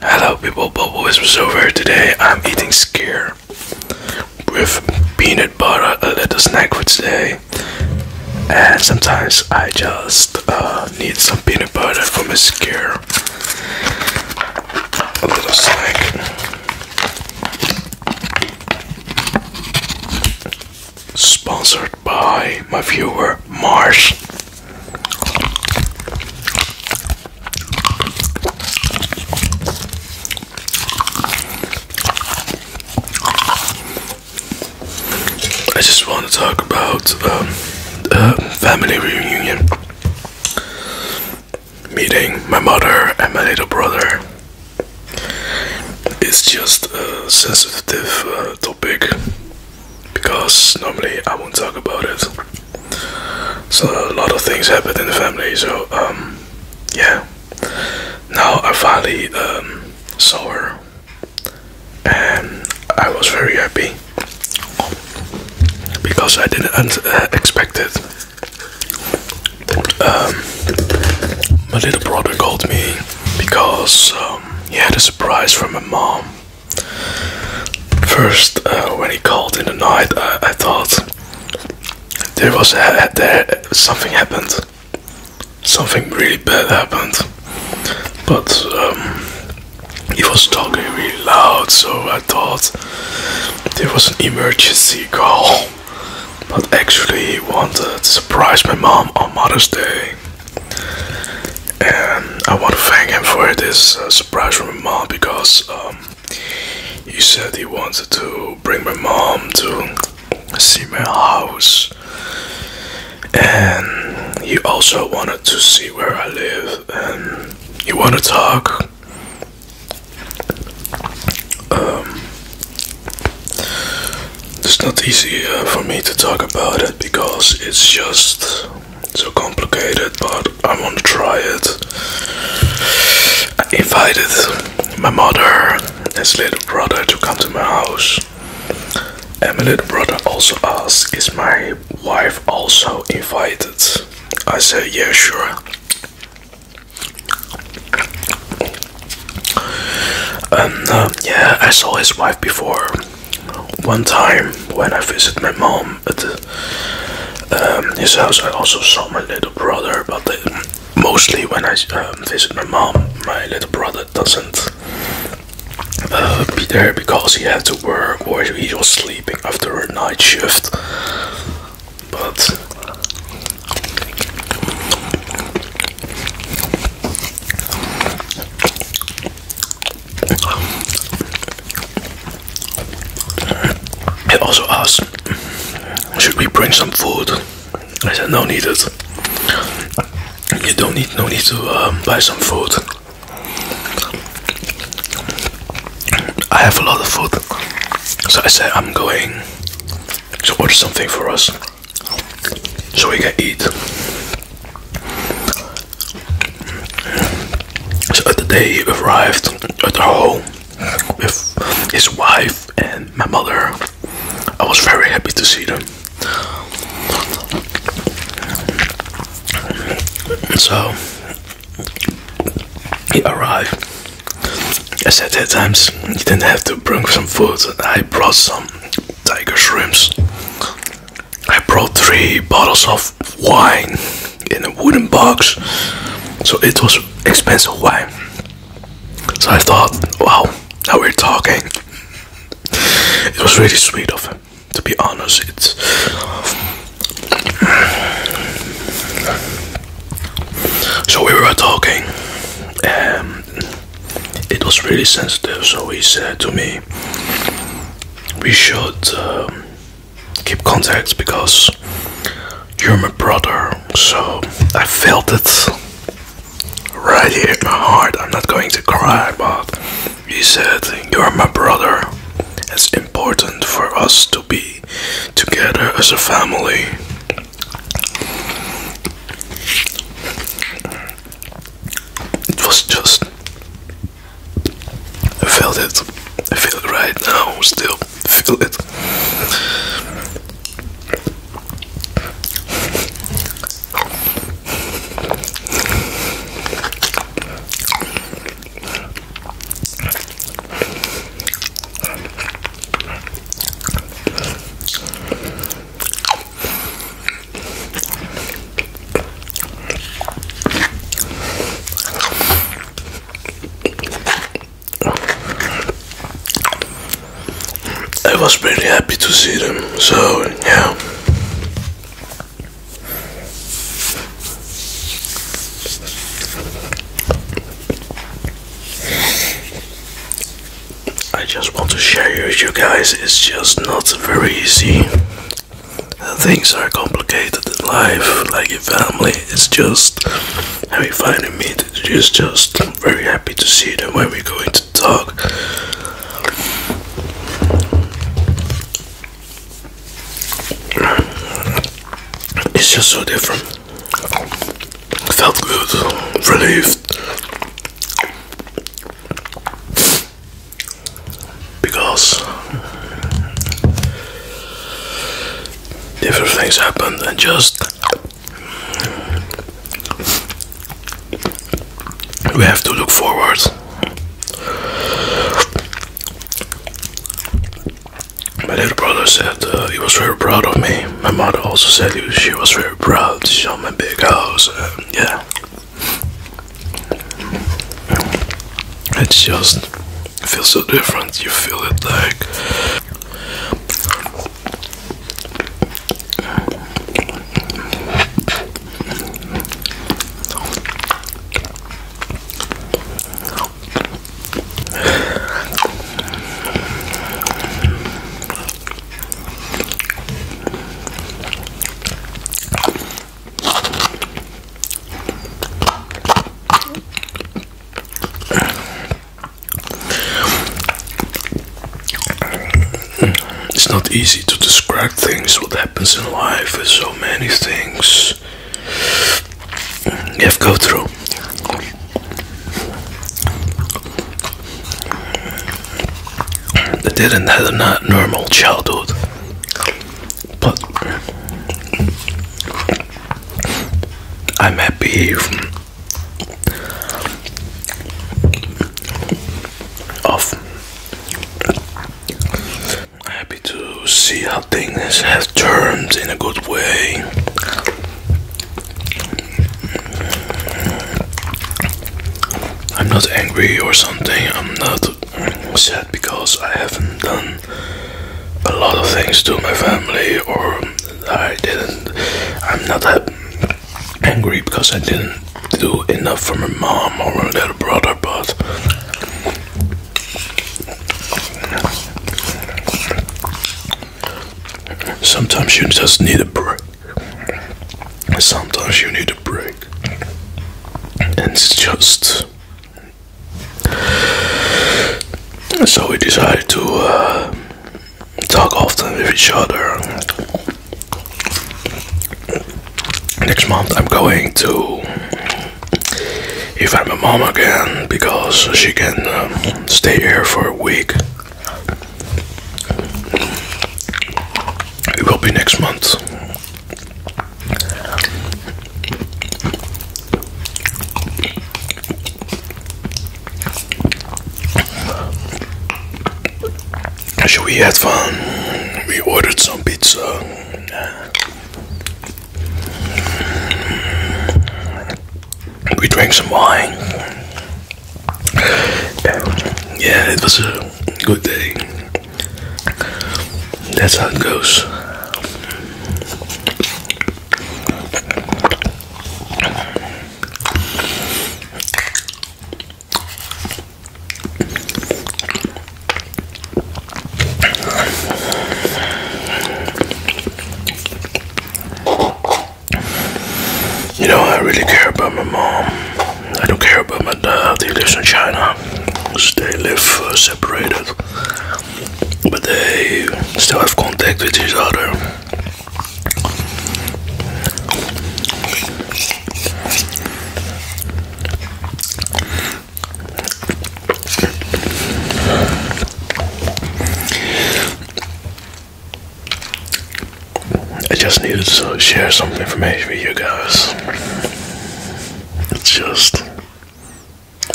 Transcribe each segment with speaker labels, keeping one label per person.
Speaker 1: Hello people, Bubble is over. Today I'm eating skier with peanut butter, a little snack for today. And sometimes I just uh, need some peanut butter for my skier. A little snack. Sponsored by my viewer Mars. I just want to talk about um, family reunion meeting my mother and my little brother. It's just a sensitive uh, topic because normally I won't talk about it. So a lot of things happened in the family. So um, yeah. Now I finally um, saw her, and I was very happy because I didn't uh, expect it. Um, my little brother called me because um, he had a surprise from my mom First, uh, when he called in the night, I, thought there was something happened, something really bad happened. But um, he was talking really loud, so I thought there was an emergency call. But actually, he wanted to surprise my mom on Mother's Day and I want to thank him for this uh, surprise from my mom because um, he said he wanted to bring my mom to see my house, and he also wanted to see where I live, and you want to talk. Um, it's not easy uh, for me to talk about it because it's just it's so complicated, but I want to try it. I invited my mother and his little brother to come to my house. And my little brother also asked, Is my wife also invited? I said, Yeah, sure. And um, yeah, I saw his wife before one time when I visit my mom at um, his house, I also saw my little brother. But mostly when I um, visit my mom, my little brother doesn't uh, be there because he had to work or he was sleeping after a night shift. But he also asked, should we bring some food? I said, no need. It You don't need, no need to um, buy some food. I have a lot of food. So I said, I'm going to order something for us so we can eat. So the day he arrived at our home with his wife and my mother, I was very happy to see them. So he arrived. I said at times he didn't have to bring some food, I brought some tiger shrimps. I brought three bottles of wine in a wooden box, so it was expensive wine. So I thought, wow, now we're talking. It was really sweet of him, to be honest. It's so we were talking, and um, it was really sensitive, so he said to me, We should um, keep contact because you're my brother. So I felt it right here in my heart. I'm not going to cry, but he said, You're my brother. It's important for us to be together as a family. It was just. I felt it. I feel it right now, still. Feel it. I was pretty happy to see them, so yeah. I just want to share with you guys. It's just not very easy. Things are complicated in life, like in family. It's just how you find a meet. It's just very happy to see them when we're going to talk. It's just so different. Felt good, relieved. Because different things happened and just we have to look forward. My little brother said uh, he was very proud of me my mother also said she was very proud. to show my big house. Uh, yeah. It's just feels so different. You feel it like it's not easy to describe things, what happens in life, there's so many things you have to go through. I didn't have a normal childhood, but I'm happy of I'm happy to see how things have turned in a good way. I'm not angry or something, I'm not sad because I haven't done a lot of things to my family, or I didn't. I'm not angry because I didn't do enough for my mom or my little brother, but Sometimes you just need a break. Sometimes you need a break. And it's just. So we decided to uh, talk often with each other. Next month I'm going to if I'm a mom again because she can um, stay here for a week. It will be next month. Should we have fun? We ordered some pizza. We drank some wine. yeah, it was a good day. That's how it goes. You know, I really care about my mom. I don't care about my dad. He lives in China. They live uh, separated, but they still have contact with each other. I just needed to share some information with you guys. It's just,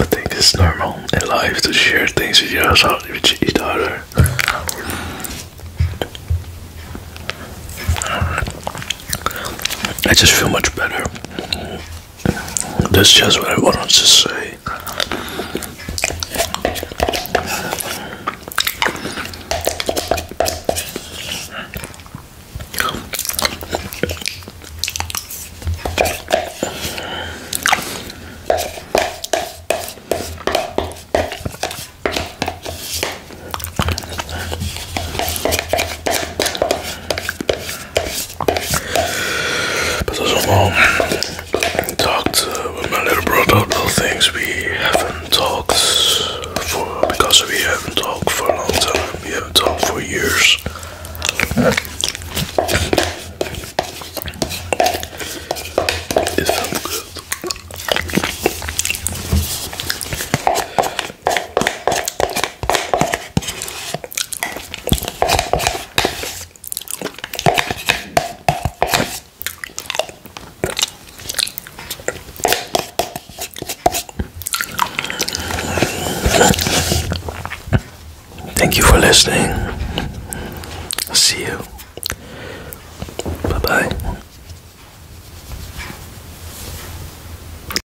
Speaker 1: I think it's normal in life to share things with yours with each other. I just feel much better. That's just what I wanted to say. But as a mom, talked uh, with my little brother about things we haven't talked for because we haven't talked for a long time. We haven't talked for years. Thank you for listening. See you. Bye bye.